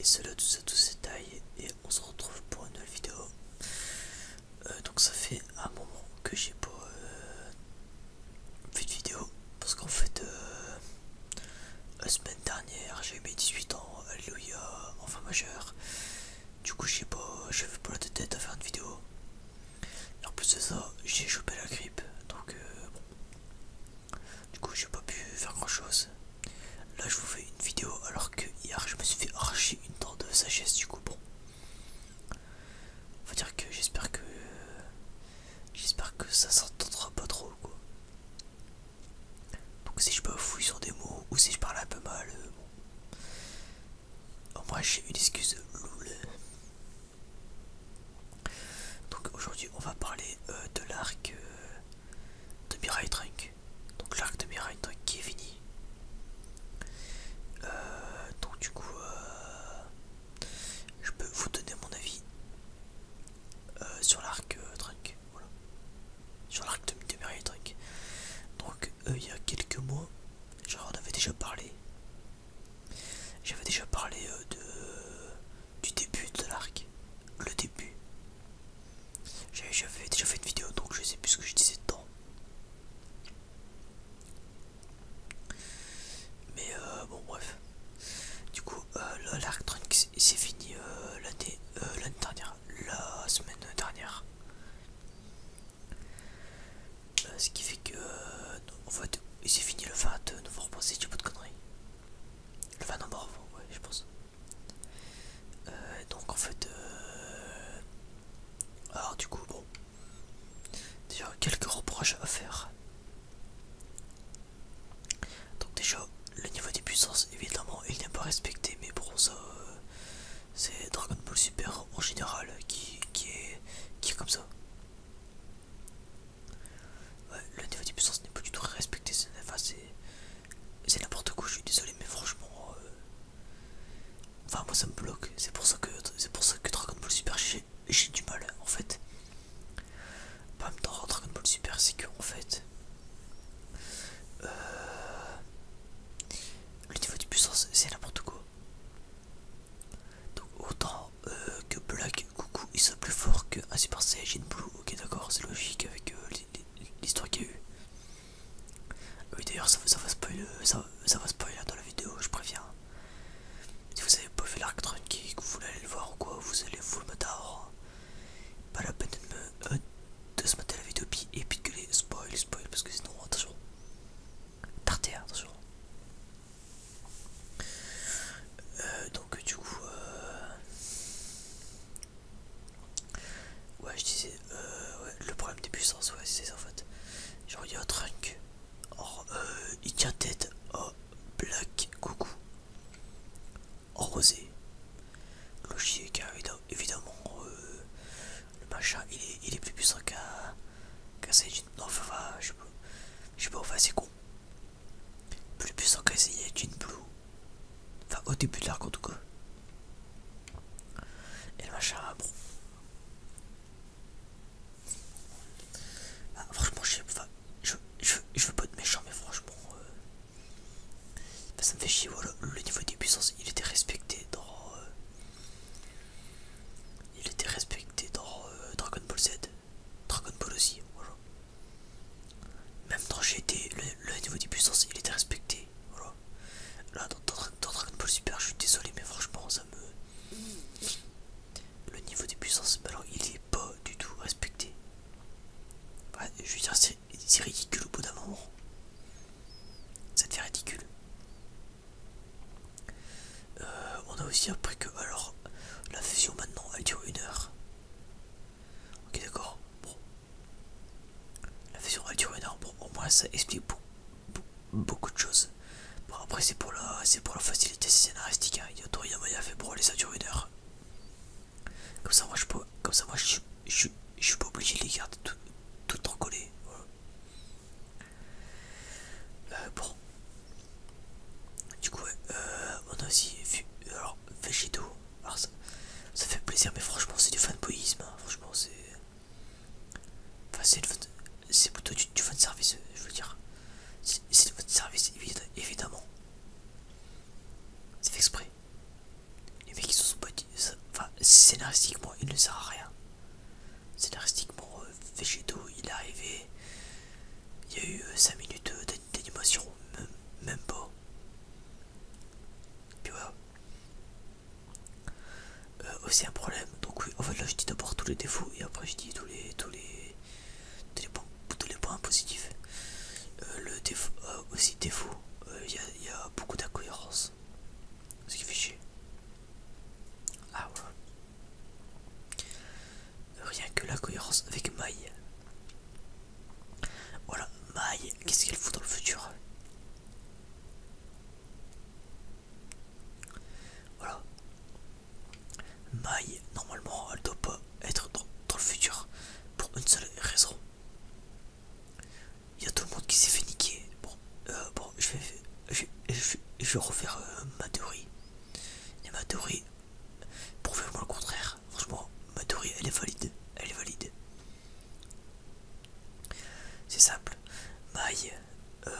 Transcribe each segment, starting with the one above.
Et cela tout ça tout c'est taille et on se retrouve pour une nouvelle vidéo. Euh, donc ça fait un moment que j'ai pas euh, vu fait de vidéo parce qu'en fait euh, la semaine dernière, j'ai mes 18 ans, alléluia, enfin majeur. Du coup, je sais pas, je pas la tête à faire une vidéo. en plus de ça, j'ai chopé la grippe, donc euh, Du coup, j'ai pas pu faire grand chose. Là, je vous fais une vidéo alors que hier, je me suis fait archer une dent de sagesse, du coup, bon. va dire que j'espère que. J'espère que ça s'entendra pas trop, quoi. Donc si je me fouille sur des mots ou si je parle un peu mal, euh, Au j'ai une excuse Donc aujourd'hui on va parler euh, de l'arc euh, de Mirai Trunk. Donc l'arc de Mirai Trunk qui est fini. donc du coup je peux vous donner mon avis sur l'arc Trunk. Voilà. Sur l'arc de Midemir truc. Donc, euh, il y a quelques mois, j'en avais déjà parlé. J'avais déjà parlé euh, de, du début de l'arc. Le début. J'avais déjà fait une vidéo, donc je sais plus ce que je disais dedans. Mais euh, bon, bref. Du coup, euh, il s'est fini euh, l'année euh, dernière, la semaine dernière. Euh, ce qui fait que, en fait, s'est fini le 20 novembre, si du bout de conneries. Le 20 novembre, ouais, je pense. donc en fait, alors du coup, bon, déjà quelques reproches à faire. Donc déjà le niveau des puissances évidemment il n'est pas respecté mais bon ça euh, c'est Dragon Ball Super en général qui, qui, est, qui est comme ça. le niveau des puissances n'est pas du tout respecté, c'est n'importe quoi, je suis désolé mais franchement euh, Enfin moi ça me bloque, c'est pour ça que c'est pour ça que Dragon Ball Super j'ai du mal en fait. Pas même temps Dragon Ball Super, c'est que en fait, euh, le niveau de puissance c'est n'importe quoi. Donc autant euh, que Black Coucou il soit plus fort qu'un Super Saiyajin Blue, ok d'accord, c'est logique avec euh, l'histoire qu'il y a eu. Oui d'ailleurs ça, ça, va spoiler, ça, ça va spoiler dans la vidéo, je préviens. Si vous avez pas fait l'arc et que vous voulez aller le voir ou quoi, vous allez vous le mettre à Pas la peine de, me, euh, de se mater la vidéo et puis de gueuler spoil, spoil, parce que sinon, attention. Tarté, attention. Euh, donc, du coup, euh... ouais, je disais, euh, ouais, le problème des puissances, ouais, c'est ça en fait. Genre, il y a un trunk, or, euh, il tient tête Black Coucou rosé Logier car évidemment euh, le machin il est, il est plus puissant qu'à qu'un Jin Non enfin je sais pas. Je sais pas enfin c'est con. Plus puissant qu'un Saiyajin Blue. Enfin au début de l'arc en tout cas. Et le machin ah, bon. Ah, franchement je sais pas. Je, veux pas être méchant, mais franchement, euh, bah, ça me fait chier. le niveau des puissances, il était respecté dans. Euh, il était respecté dans euh, Dragon Ball Z, Dragon Ball aussi, Même dans GT, le, le niveau des puissances, il était respecté, Là, dans, Dragon Ball Super, je suis désolé, mais franchement, ça me. Le niveau des puissances, bah, alors il est pas du tout respecté. je veux dire, c'est ridicule au bout d'un moment. Ça ridicule. Euh, on a aussi appris que, alors, la fusion maintenant, elle dure une heure. Ok, d'accord. La fusion, elle dure une heure. pour au ça explique beaucoup, de choses. Bon, après, c'est pour la, c'est pour la c'était scénaristique, il y a fait brûler, ça dure une Comme ça, moi je peux, comme ça, moi je, je suis pas obligé de les garder tout, tout en coller euh, bon, du coup, on a aussi vu alors Végéto. ça, fait plaisir, mais franchement, c'est du fanboyisme. Hein, franchement, c'est. c'est plutôt du, du fan service, je veux dire. C'est votre service, évidemment. C'est fait exprès. Les mecs, sont pas scénaristiquement, il ne sert à rien. Scénaristiquement, euh, Vegeto il est arrivé. Il y a eu 5 euh, minutes euh, d'animation, même, pas pas. Puis voilà. aussi un problème. Donc, oui, en fait, là, je dis d'abord tous les défauts et après, je dis tous les. Tous les tous les points, positifs. Euh, le défaut, euh, aussi défaut, il euh, y, a beaucoup d'incohérences. Ce qui fait chier. Ah, Rien que la cohérence avec maille Voilà, maille qu'est-ce qu'elle fout dans le futur Voilà. Mai, normalement, elle doit pas être dans, le futur pour une seule raison. Il y a tout le monde qui s'est fait niquer. Bon, euh, bon je, vais, je, vais refaire euh, ma théorie. Et ma théorie, prouvez-moi le contraire. Franchement, ma théorie, elle est valide. Elle est valide. C'est simple. Maille, euh,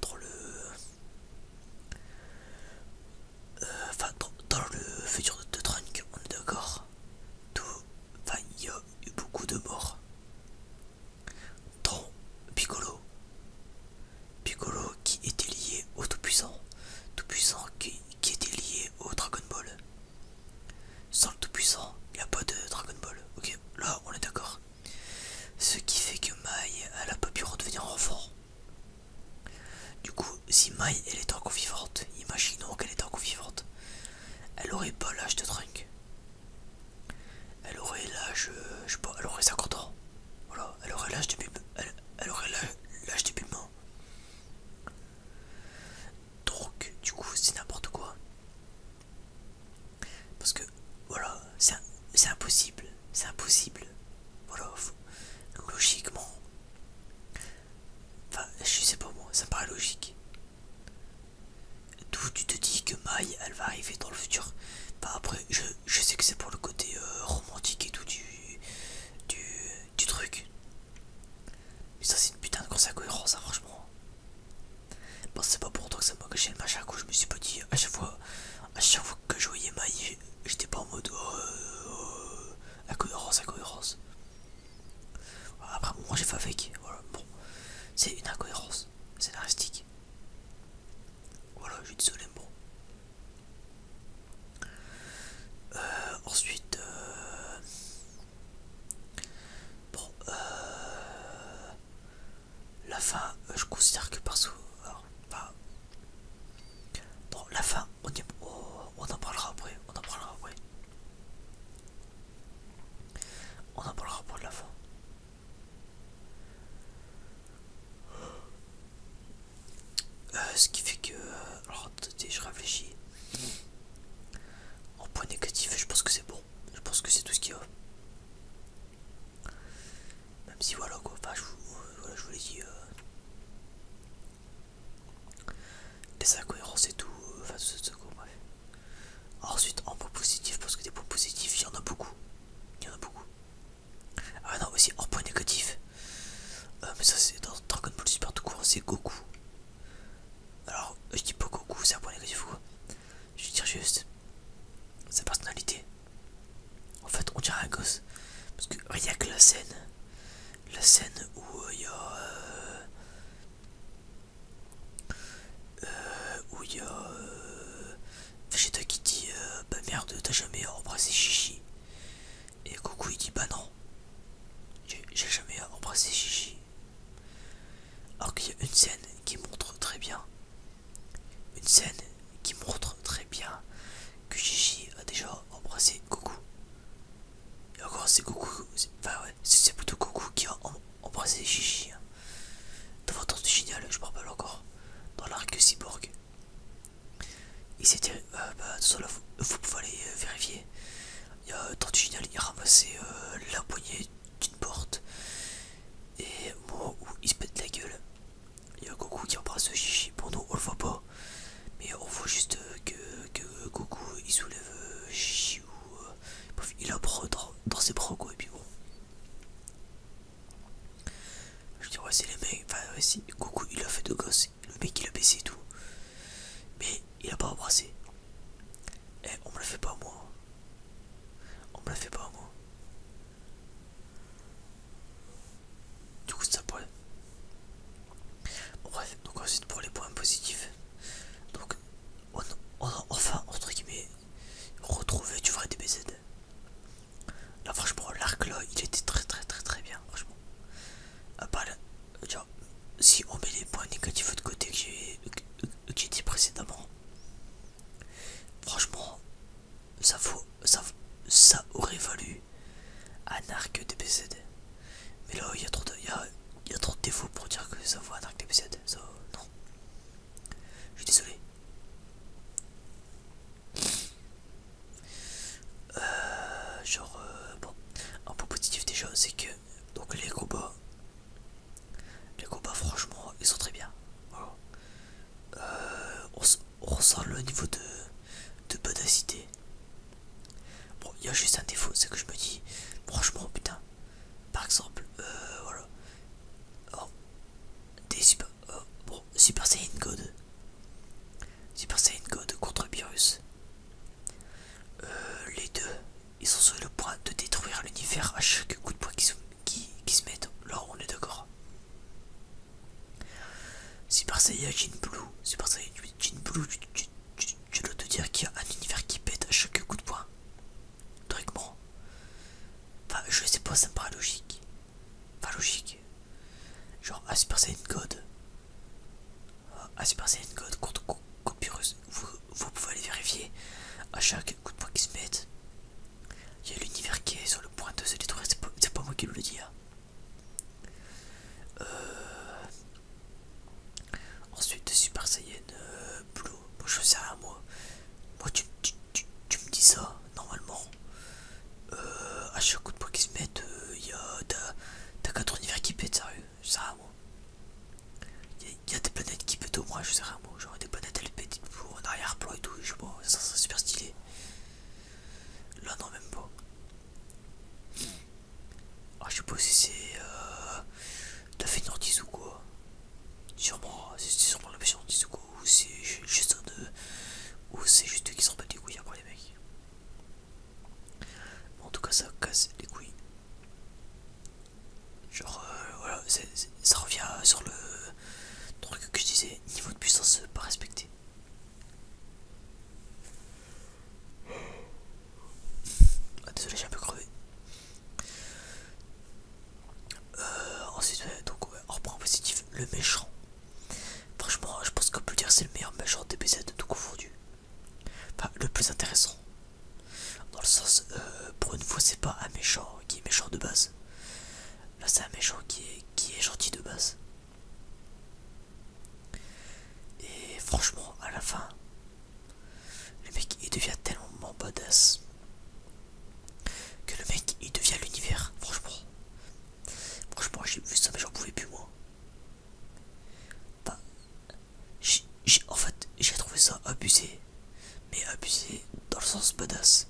dans le euh, dans, le futur de, Trunks, on est d'accord. tout il y a eu beaucoup de morts. Dans Piccolo. Piccolo qui était lié au Tout-Puissant. Tout-Puissant qui, qui était lié au Dragon Ball. Sans le Tout-Puissant, il n'y a pas de Dragon Ball. Ok, là on est d'accord. Ce qui fait que Mai elle a pas pu redevenir enfant. Du coup, si Mai elle est encore vivante, imaginons qu'elle est encore vivante, elle aurait pas l'âge de drink. Elle aurait l'âge, euh, je sais pas, elle aurait 50 ans. Voilà, elle aurait l'âge de Elle, aurait l'âge de Bulma. Donc, du coup, c'est n'importe quoi. Parce que, voilà, c'est impossible. C'est impossible. voilà Logiquement. Enfin, je sais pas moi, ça paraît logique. D'où tu te dis que Mai, elle va arriver dans le futur. Bah après, je, sais que c'est pour le côté euh, romantique et tout du, du, du truc. Mais ça c'est une putain de grosse incohérence, hein, franchement. Bon, c'est pas pour toi que ça m'a caché le machin, je me suis pas dit à chaque fois je chaque que je voyais Maï, j'étais pas en mode incohérence, oh, euh, incohérence. Après, moi j'ai fait avec, voilà, bon, c'est une incohérence scénaristique. Voilà, je suis désolé, bon. Euh, ensuite, euh, bon, euh... La fin, euh, je considère que par Alors, enfin, la fin, on, oh, on en parlera après. On en parlera après. On en parlera pour la fin. Euh, ce qui fait que. Euh, alors, attendez, je réfléchis. En point négatif, je pense que c'est bon. Je pense que c'est tout ce qu'il y a. Même si voilà quoi, enfin je vous, l'ai dit, les euh, des incohérences et tout, euh, enfin ce, ça quoi, bref. Ensuite, en point positif, parce que des points positifs, il y en a beaucoup. Il y en a beaucoup. Ah non, aussi en point négatif. Euh, mais ça c'est dans Dragon Ball Super tout court, c'est Goku. Alors, je dis pas Goku, c'est un point négatif ou quoi Je veux juste, sa personnalité. En fait, on dirait un gosse. Parce que rien que la scène, la scène où euh, il y a. Euh, euh, où il y a. Vegeta qui dit Bah merde, t'as jamais embrassé Chichi. Et Coucou il dit Bah non, j'ai jamais embrassé Chichi. Alors qu'il y a une scène qui montre très bien une scène qui montre très bien que Gigi a déjà embrassé Goku. encore c'est Goku, enfin ouais, c'est plutôt Goku qui a embrassé Gigi. devant hein. Dans génial, je me rappelle encore, dans l'arc cyborg. Il s'était, euh, bah, vous, pouvez aller euh, vérifier. Il y a Génial, il a ramassé euh, la poignée d'une porte. Et moi où il se pète la gueule, il y a Goku qui embrasse Chichi. Pour nous on le voit pas, mais on voit juste que, que Goku il soulève Chichi euh, ou euh, il a dans, ses bras Et puis bon, je dis, ouais, c'est les mecs. Enfin, ouais, si Goku il a fait de gosses le mec il a baissé et tout, mais il a pas embrassé. Eh, on me le fait pas moi. On me la fait pas, moi. Du coup, ça poil. Bref, donc ensuite pour les points positifs. Donc, on, a enfin, entre guillemets, retrouvé du vrai DBZ. Là, franchement, l'arc là, il était très très très très bien, franchement. À si on met les points négatifs de côté que j'ai dit précédemment, Franchement, ça, ça, aurait valu un arc DBZ. Mais là, il y, a trop de, y, a, trop de défauts pour dire que ça vaut un arc DBZ. Ça, non. Je suis désolé. Euh, genre, euh, bon, un point positif déjà, c'est que donc les combats les combats, franchement, ils sont très bien. Euh, on, ressent le niveau de, de bonacité. Bon, il y a juste un défaut, c'est que je me dis, franchement, putain, par exemple, euh, voilà, des super, euh, bon, Super Saiyan God, Super Saiyan God contre Virus, euh, les deux, ils sont sur le point de détruire l'univers à chaque coup de poing qui se, qui, se mettent. Là, on est d'accord. Super Saiyan jean Blue, Super Saiyan Jin Blue, tu, dois te dire qu'il y a un univers qui pète à chaque coup de poing. Théoriquement. Enfin, je sais pas, ça me paraît logique. Pas logique. Genre, à ah, Super Saiyan God. À ah, Super Saiyan God contre, copyrus vous, vous pouvez aller vérifier à chaque coup de poids qui se met, Il y a l'univers qui est sur le point de se détruire, c'est pas, moi qui le dis. Hein. Euh, ensuite, Super Saiyan euh, Blue. je sais rien, moi. Moi, tu, tu, me dis ça, normalement. Euh, à chaque coup de poing qui se mette, il y a. T'as 4 univers qui pètent, sérieux. ça, sais moi. Il y, a des planètes qui pètent au moins, je sais rien, moi. Genre des planètes elles pètent pour en arrière-plan et tout, je sais pas, ça serait super stylé. Là, non, même pas. Ah, je sais pas si c'est. Euh, de fait tisuko. ou quoi. Sûrement, c'est sûrement la fin ou quoi, ou c'est juste un de. Euh, ou c'est juste eux qui sont battent les couilles après les mecs. en tout cas, ça casse les couilles. Genre, euh, voilà, ça revient sur le truc que je disais, niveau de puissance pas respecté. Ah, désolé, j'ai un peu crevé. Euh, ensuite, donc, on positif le méchant. Franchement, je pense qu'on peut dire dire, c'est le meilleur méchant DBZ de tout confondu. Enfin, le plus intéressant, dans le sens, pour une fois, c'est pas un méchant qui est méchant de base. Là, c'est un méchant qui est, qui est gentil de base. Et franchement, à la fin, le mec il devient tellement badass que le mec il devient l'univers. Franchement, franchement, j'ai vu ça, mais j'en pouvais plus moi. Bah, en fait, j'ai trouvé ça abusé. Mais abusé dans le sens badass.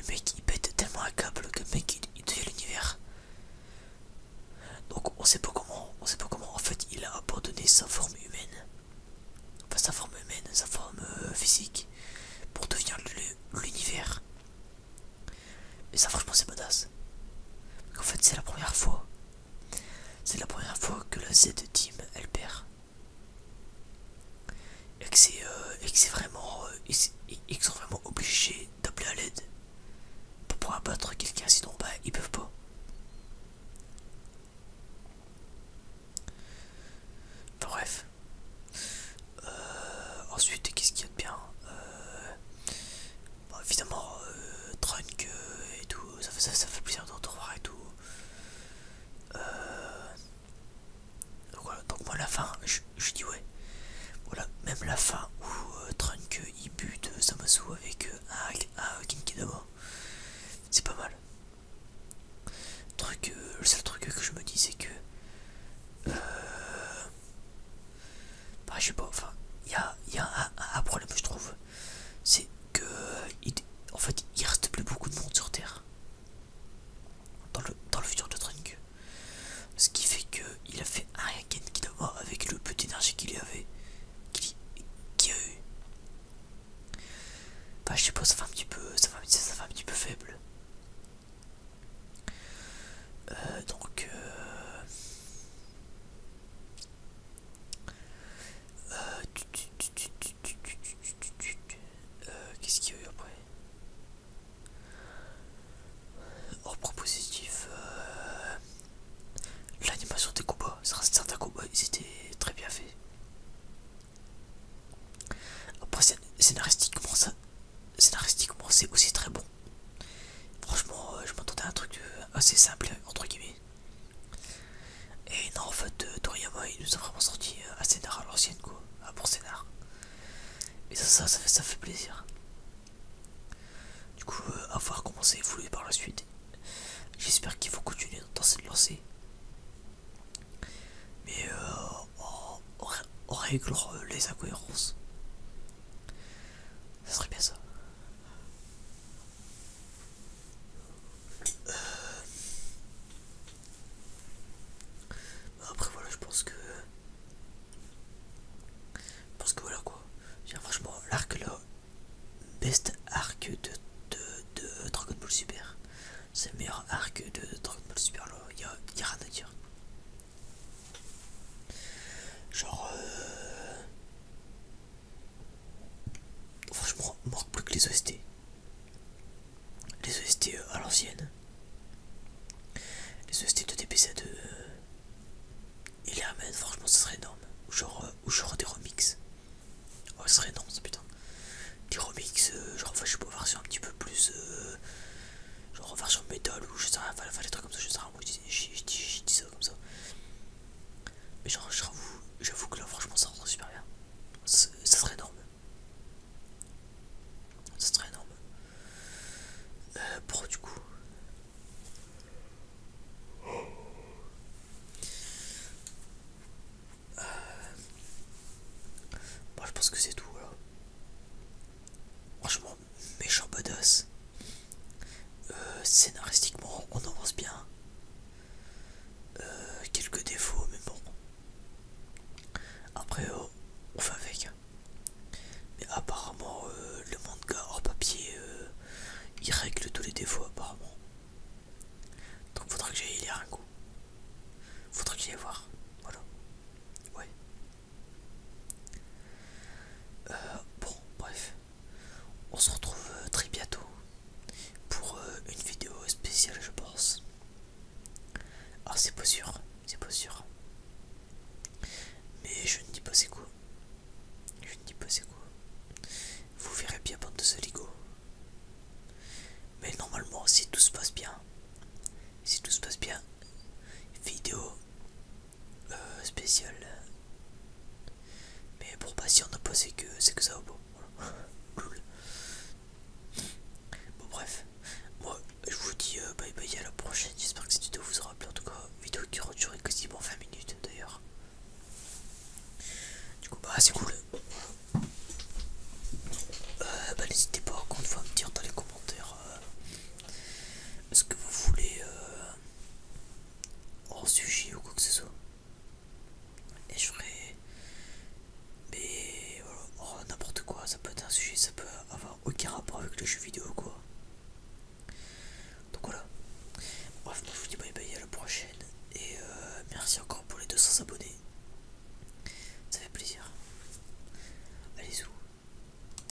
Le mec il pète tellement un câble que le mec il, devient l'univers. Donc on sait pas comment, on sait pas comment en fait il a abandonné sa forme humaine. Enfin sa forme humaine, sa forme euh, physique pour devenir l'univers. mais ça franchement c'est badass. en fait c'est la première fois c'est la première fois que la Z team elle perd. Et que c'est euh, vraiment, euh, ils sont vraiment obligés d'appeler à l'aide pour pouvoir battre quelqu'un, sinon bah ils peuvent pas. bref. Euh, ensuite, qu'est-ce qu'il y a de bien Bon, évidemment, euh, Trunk euh, et tout, ça, ça, ça fait plaisir de retrouver et tout. Euh... Donc moi la fin, je, dis ouais. Voilà, même la fin où euh, Trunk il bute euh, avec un, un, dedans, c'est pas mal. le seul truc que je me dis, c'est que. Euh, bah, je sais pas, enfin, il y a, un problème, je trouve c'est que il, en fait il reste plus beaucoup de monde sur Terre dans le, futur de Trunk. Ce qui fait que il a fait un qui Kidama avec le peu d'énergie qu'il avait qu'il y a eu. Bah, je sais pas ça fait un petit peu ça ça un petit peu faible. Euh, donc euh, euh, qu'est-ce qu'il y a eu après Hors oh, propositif, euh, l'animation des combats, certains combats, ils étaient très bien faits. Après, scénaristiquement, ça, scénaristiquement, c'est aussi très bon. Franchement, euh, je m'attendais à un truc assez simple, entre guillemets. Et non, en fait, euh, Toriyama il nous a vraiment sorti un euh, scénar à l'ancienne quoi, un bon scénar. Et ça, ça, ça, fait plaisir. Du coup, euh, à voir par la suite. J'espère qu'il faut continuer dans cette lancée. Mais on réglera les incohérences. Ça serait bien ça. Euh, après voilà je pense que je pense que voilà quoi franchement l'arc là best arc de, de, Dragon Ball Super c'est le meilleur arc de Dragon Ball Super là il y a, rien à genre euh, Franchement, on manque plus que les OST. Les OST euh, à l'ancienne. Les OST de DPC2. Euh, et les franchement, ce serait énorme. Ou genre, euh, des remixes. Oh, ce serait énorme, ça, putain. Des remix, genre, je peux pas, sur un petit peu plus. genre, genre, sur métal ou je sais pas, des trucs comme ça, je sais je dis, ça comme ça. Mais j'avoue, que là, franchement, ça rend super bien. Ça, serait énorme. Ça serait énorme. bon euh, pour du coup. Euh, je pense que c'est tout. Voilà. Franchement, méchant, chambodoss. Euh, scénaristiquement, on en pense bien. Euh, quelques défauts, mais bon. Après, euh, on fait avec. Mais apparemment, le manga hors papier, il règle tous les défauts, apparemment. Donc, faudra que j'aille lire un coup. Faudra que j'aille voir. Voilà. Ouais. Euh, bon, bref, on se retrouve euh, très bientôt pour euh, une vidéo spéciale, je pense. Ah, c'est pas sûr, c'est pas sûr. Mais je ne dis pas c'est quoi. Je ne dis pas c'est quoi. Vous verrez bien bande de Mais normalement, si tout se passe bien, si tout se passe bien, vidéo euh, spécial. Mais pour pas si on que c'est que, ça au bon. cool. Bon, bref. Moi, je vous dis euh, bye bye à la prochaine. J'espère que cette vidéo vous aura plu. En tout cas, vidéo qui aura duré quasiment 20 minutes d'ailleurs. Du coup, bah c'est cool. Euh, bah, n'hésitez pas encore une fois à me dire dans les commentaires ce que vous voulez. En sujet ou quoi que ce soit. Et je ferai. Mais voilà, euh, oh, n'importe quoi, ça peut être un sujet, ça peut avoir aucun rapport avec le jeu vidéo quoi. Donc voilà. Bref, moi je vous dis bye bye à la prochaine. Et euh, merci encore pour les 200 abonnés. Ça fait plaisir. Allez-y.